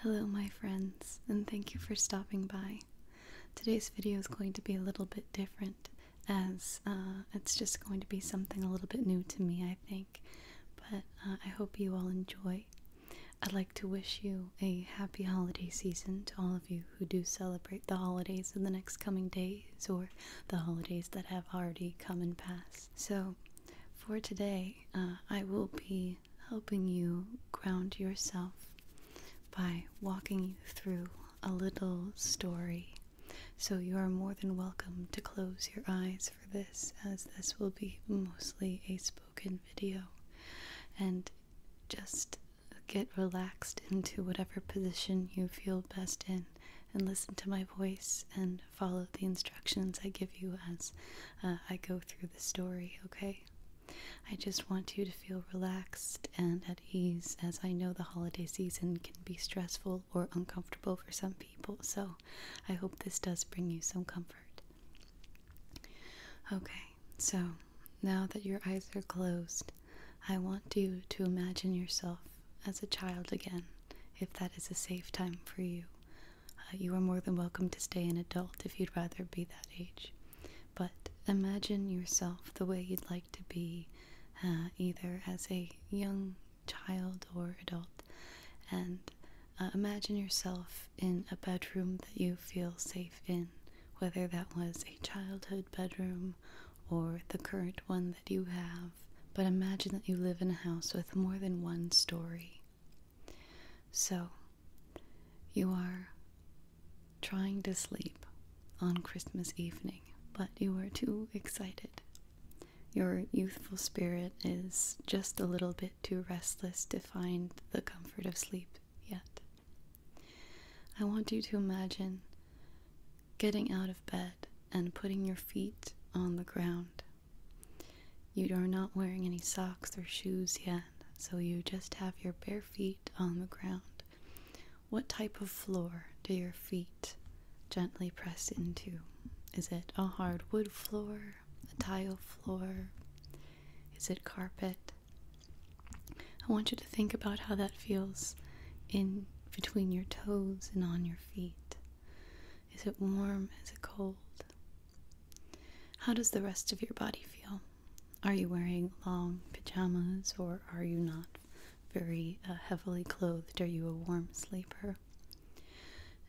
Hello, my friends, and thank you for stopping by. Today's video is going to be a little bit different, as uh, it's just going to be something a little bit new to me, I think. But uh, I hope you all enjoy. I'd like to wish you a happy holiday season to all of you who do celebrate the holidays in the next coming days or the holidays that have already come and passed. So, for today, uh, I will be helping you ground yourself by walking you through a little story. So you are more than welcome to close your eyes for this, as this will be mostly a spoken video. And just get relaxed into whatever position you feel best in and listen to my voice and follow the instructions I give you as uh, I go through the story, okay? I just want you to feel relaxed and at ease, as I know the holiday season can be stressful or uncomfortable for some people, so I hope this does bring you some comfort. Okay, so now that your eyes are closed, I want you to imagine yourself as a child again, if that is a safe time for you. Uh, you are more than welcome to stay an adult if you'd rather be that age. But imagine yourself the way you'd like to be, uh, either as a young child or adult, and uh, imagine yourself in a bedroom that you feel safe in, whether that was a childhood bedroom or the current one that you have. But imagine that you live in a house with more than one story. So, you are trying to sleep on Christmas evening, but you are too excited. Your youthful spirit is just a little bit too restless to find the comfort of sleep yet. I want you to imagine getting out of bed and putting your feet on the ground you are not wearing any socks or shoes yet, so you just have your bare feet on the ground. What type of floor do your feet gently press into? Is it a hardwood floor, a tile floor? Is it carpet? I want you to think about how that feels in between your toes and on your feet. Is it warm? Is it cold? How does the rest of your body feel? Are you wearing long pajamas or are you not very uh, heavily clothed? Are you a warm sleeper?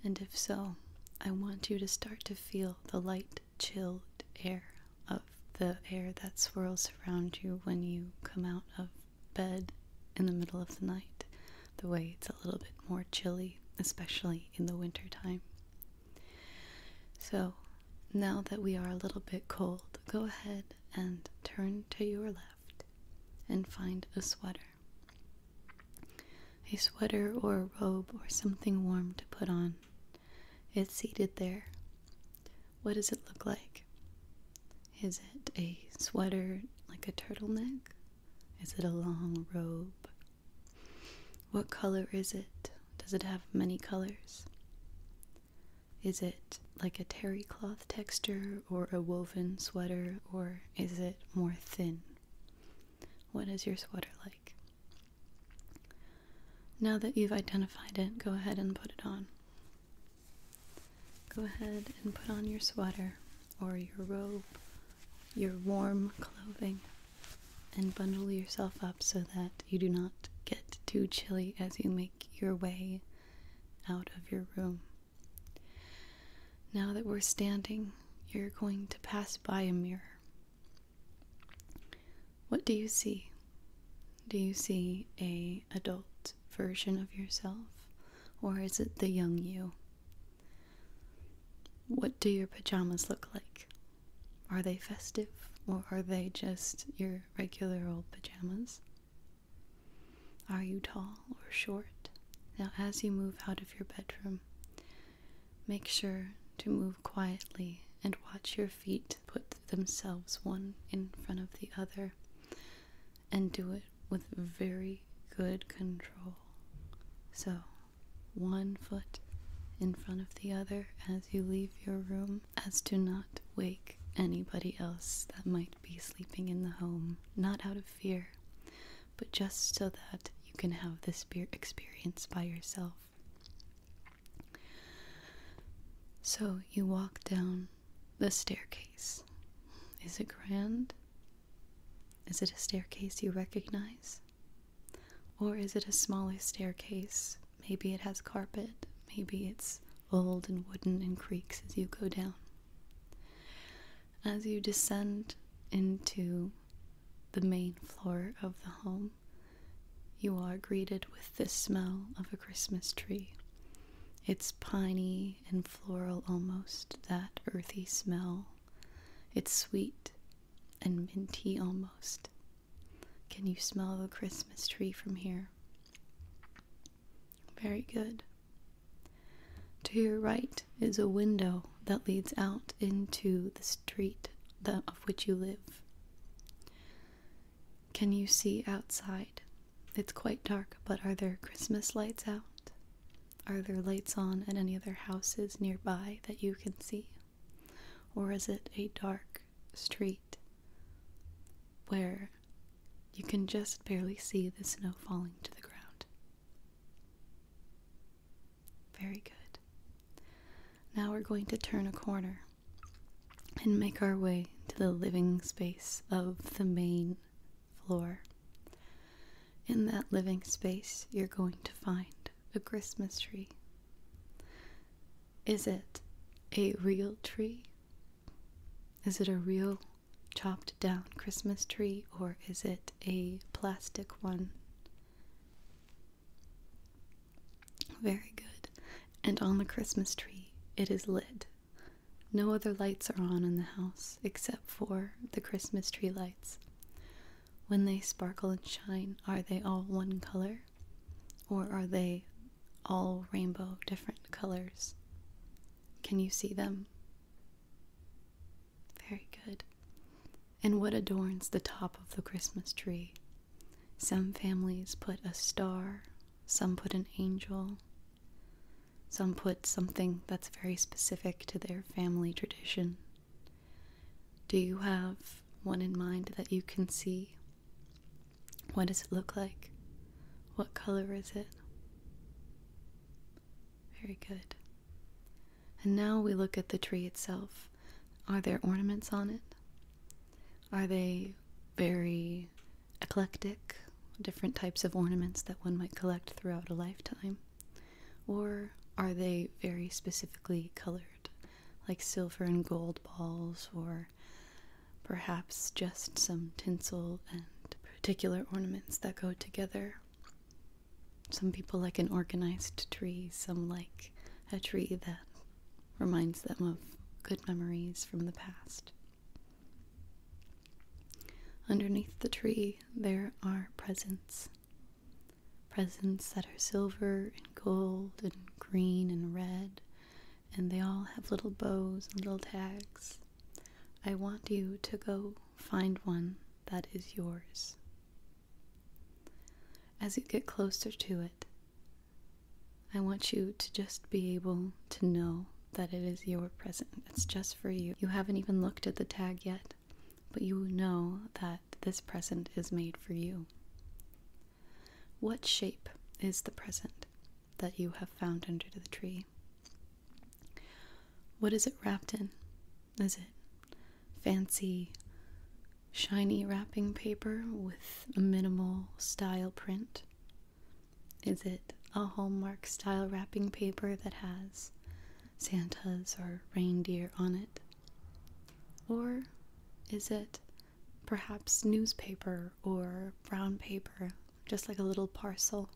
And if so, I want you to start to feel the light, chilled air of the air that swirls around you when you come out of bed in the middle of the night the way it's a little bit more chilly, especially in the winter time. So, now that we are a little bit cold, go ahead and turn to your left and find a sweater. A sweater or a robe or something warm to put on. It's seated there. What does it look like? Is it a sweater like a turtleneck? Is it a long robe? What color is it? Does it have many colors? Is it like a terry cloth texture or a woven sweater or is it more thin? What is your sweater like? Now that you've identified it, go ahead and put it on. Go ahead and put on your sweater or your robe, your warm clothing, and bundle yourself up so that you do not get too chilly as you make your way out of your room. Now that we're standing, you're going to pass by a mirror. What do you see? Do you see a adult version of yourself? Or is it the young you? What do your pajamas look like? Are they festive or are they just your regular old pajamas? Are you tall or short? Now, as you move out of your bedroom, make sure to move quietly and watch your feet put themselves one in front of the other and do it with very good control. So, one foot in front of the other as you leave your room, as to not wake anybody else that might be sleeping in the home, not out of fear, but just so that you can have this experience by yourself. So you walk down the staircase. Is it grand? Is it a staircase you recognize? Or is it a smaller staircase? Maybe it has carpet, maybe it's old and wooden and creaks as you go down. As you descend into the main floor of the home, you are greeted with the smell of a Christmas tree. It's piney and floral almost, that earthy smell. It's sweet and minty almost. Can you smell the Christmas tree from here? Very good. To your right is a window that leads out into the street of which you live. Can you see outside it's quite dark, but are there Christmas lights out? Are there lights on at any other houses nearby that you can see? Or is it a dark street where you can just barely see the snow falling to the ground? Very good. Now we're going to turn a corner and make our way to the living space of the main floor. In that living space, you're going to find a Christmas tree. Is it a real tree? Is it a real chopped down Christmas tree or is it a plastic one? Very good. And on the Christmas tree, it is lit no other lights are on in the house except for the Christmas tree lights. When they sparkle and shine, are they all one color? Or are they all rainbow, different colors? Can you see them? Very good. And what adorns the top of the Christmas tree? Some families put a star, some put an angel, some put something that's very specific to their family tradition. Do you have one in mind that you can see? What does it look like? What color is it? Very good. And now we look at the tree itself. Are there ornaments on it? Are they very, eclectic, different types of ornaments that one might collect throughout a lifetime? Or are they very specifically colored, like silver and gold balls, or perhaps just some tinsel and particular ornaments that go together? Some people like an organized tree, some like a tree that reminds them of good memories from the past. Underneath the tree, there are presents. Presents that are silver and gold and green and red, and they all have little bows and little tags. I want you to go find one that is yours. As you get closer to it, I want you to just be able to know that it is your present. It's just for you. You haven't even looked at the tag yet, but you know that this present is made for you. What shape is the present that you have found under the tree? What is it wrapped in? Is it fancy, shiny wrapping paper with a minimal style print? Is it a Hallmark style wrapping paper that has Santas or reindeer on it? Or is it perhaps newspaper or brown paper, just like a little parcel?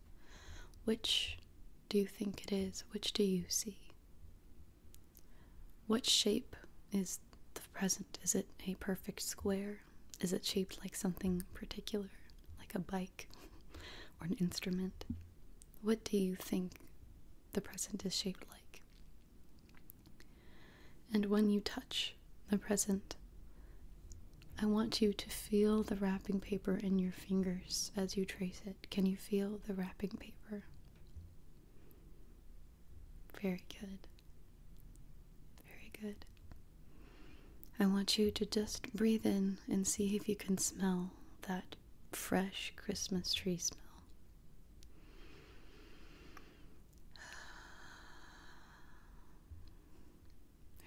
Which do you think it is? Which do you see? What shape is the present? Is it a perfect square? Is it shaped like something particular, like a bike or an instrument? What do you think the present is shaped like? And when you touch the present, I want you to feel the wrapping paper in your fingers as you trace it. Can you feel the wrapping paper? Very good. Very good. I want you to just breathe in and see if you can smell that fresh Christmas tree smell.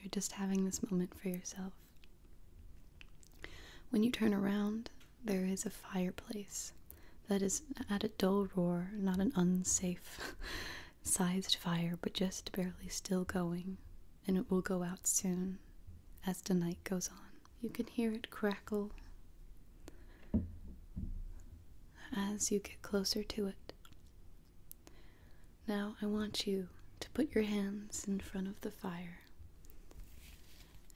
You're just having this moment for yourself. When you turn around, there is a fireplace that is at a dull roar, not an unsafe sized fire, but just barely still going, and it will go out soon as the night goes on. You can hear it crackle as you get closer to it. Now I want you to put your hands in front of the fire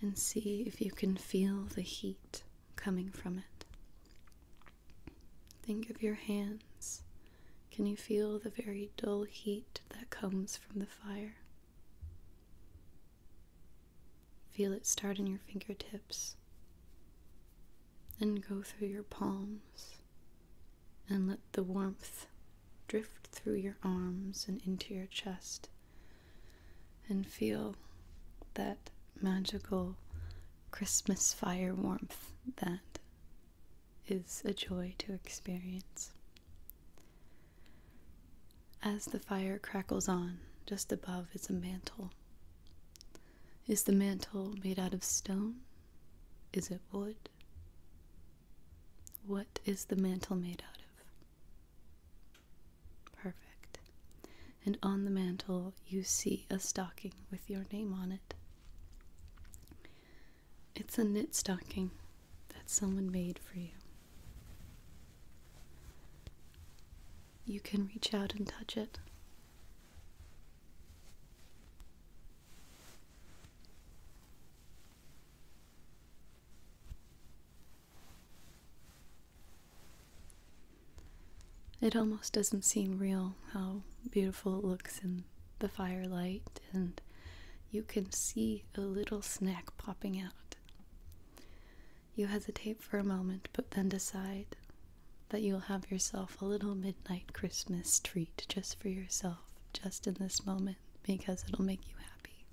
and see if you can feel the heat coming from it. Think of your hands. Can you feel the very dull heat that comes from the fire? Feel it start in your fingertips, then go through your palms, and let the warmth drift through your arms and into your chest and feel that magical Christmas fire warmth that is a joy to experience. As the fire crackles on, just above is a mantle. Is the mantle made out of stone? Is it wood? What is the mantle made out of? Perfect. And on the mantle, you see a stocking with your name on it. It's a knit stocking that someone made for you. You can reach out and touch it. It almost doesn't seem real how beautiful it looks in the firelight, and you can see a little snack popping out. You hesitate for a moment, but then decide that you'll have yourself a little midnight Christmas treat just for yourself, just in this moment, because it'll make you happy.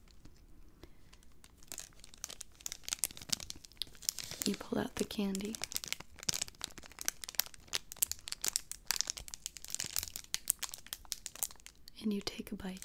You pull out the candy. And you take a bite.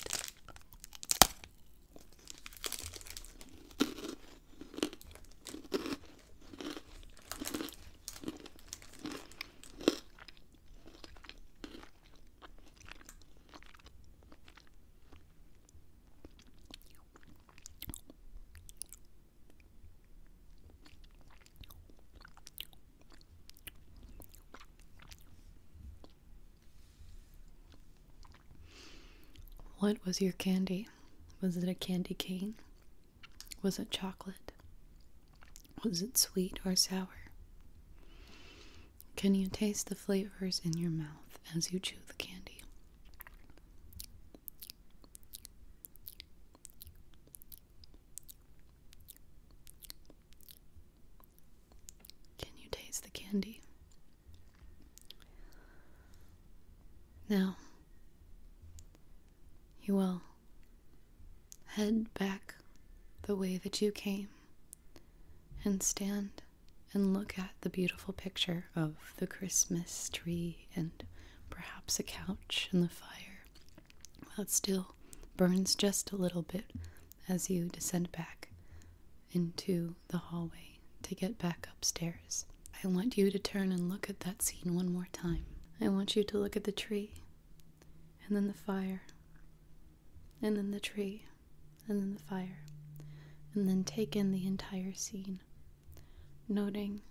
What was your candy? Was it a candy cane? Was it chocolate? Was it sweet or sour? Can you taste the flavors in your mouth as you chew the candy? Can you taste the candy? Now, you will head back the way that you came and stand and look at the beautiful picture of the Christmas tree and perhaps a couch and the fire while it still burns just a little bit as you descend back into the hallway to get back upstairs. I want you to turn and look at that scene one more time. I want you to look at the tree and then the fire, and then the tree, and then the fire, and then take in the entire scene, noting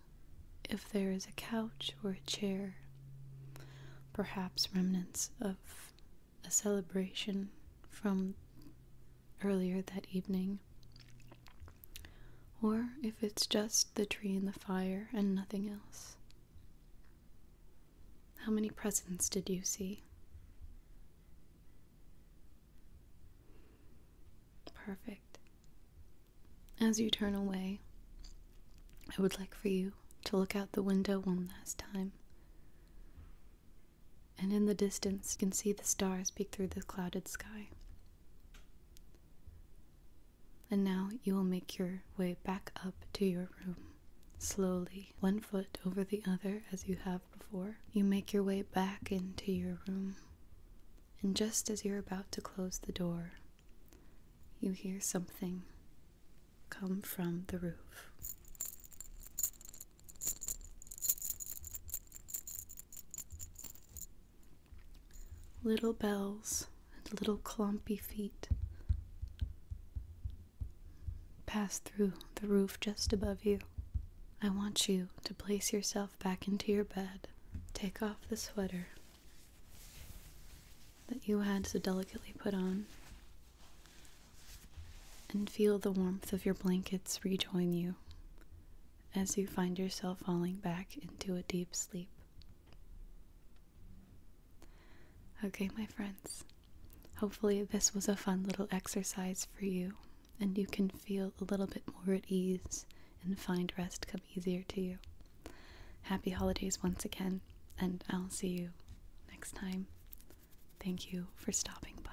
if there is a couch or a chair, perhaps remnants of a celebration from earlier that evening. Or if it's just the tree and the fire and nothing else. How many presents did you see? Perfect. As you turn away, I would like for you to look out the window one last time. And in the distance, you can see the stars peek through the clouded sky. And now you will make your way back up to your room. Slowly, one foot over the other as you have before, you make your way back into your room. And just as you're about to close the door, you hear something come from the roof. Little bells and little clumpy feet pass through the roof just above you. I want you to place yourself back into your bed. Take off the sweater that you had so delicately put on and feel the warmth of your blankets rejoin you as you find yourself falling back into a deep sleep. Okay, my friends, hopefully, this was a fun little exercise for you, and you can feel a little bit more at ease and find rest come easier to you. Happy holidays once again, and I'll see you next time. Thank you for stopping by.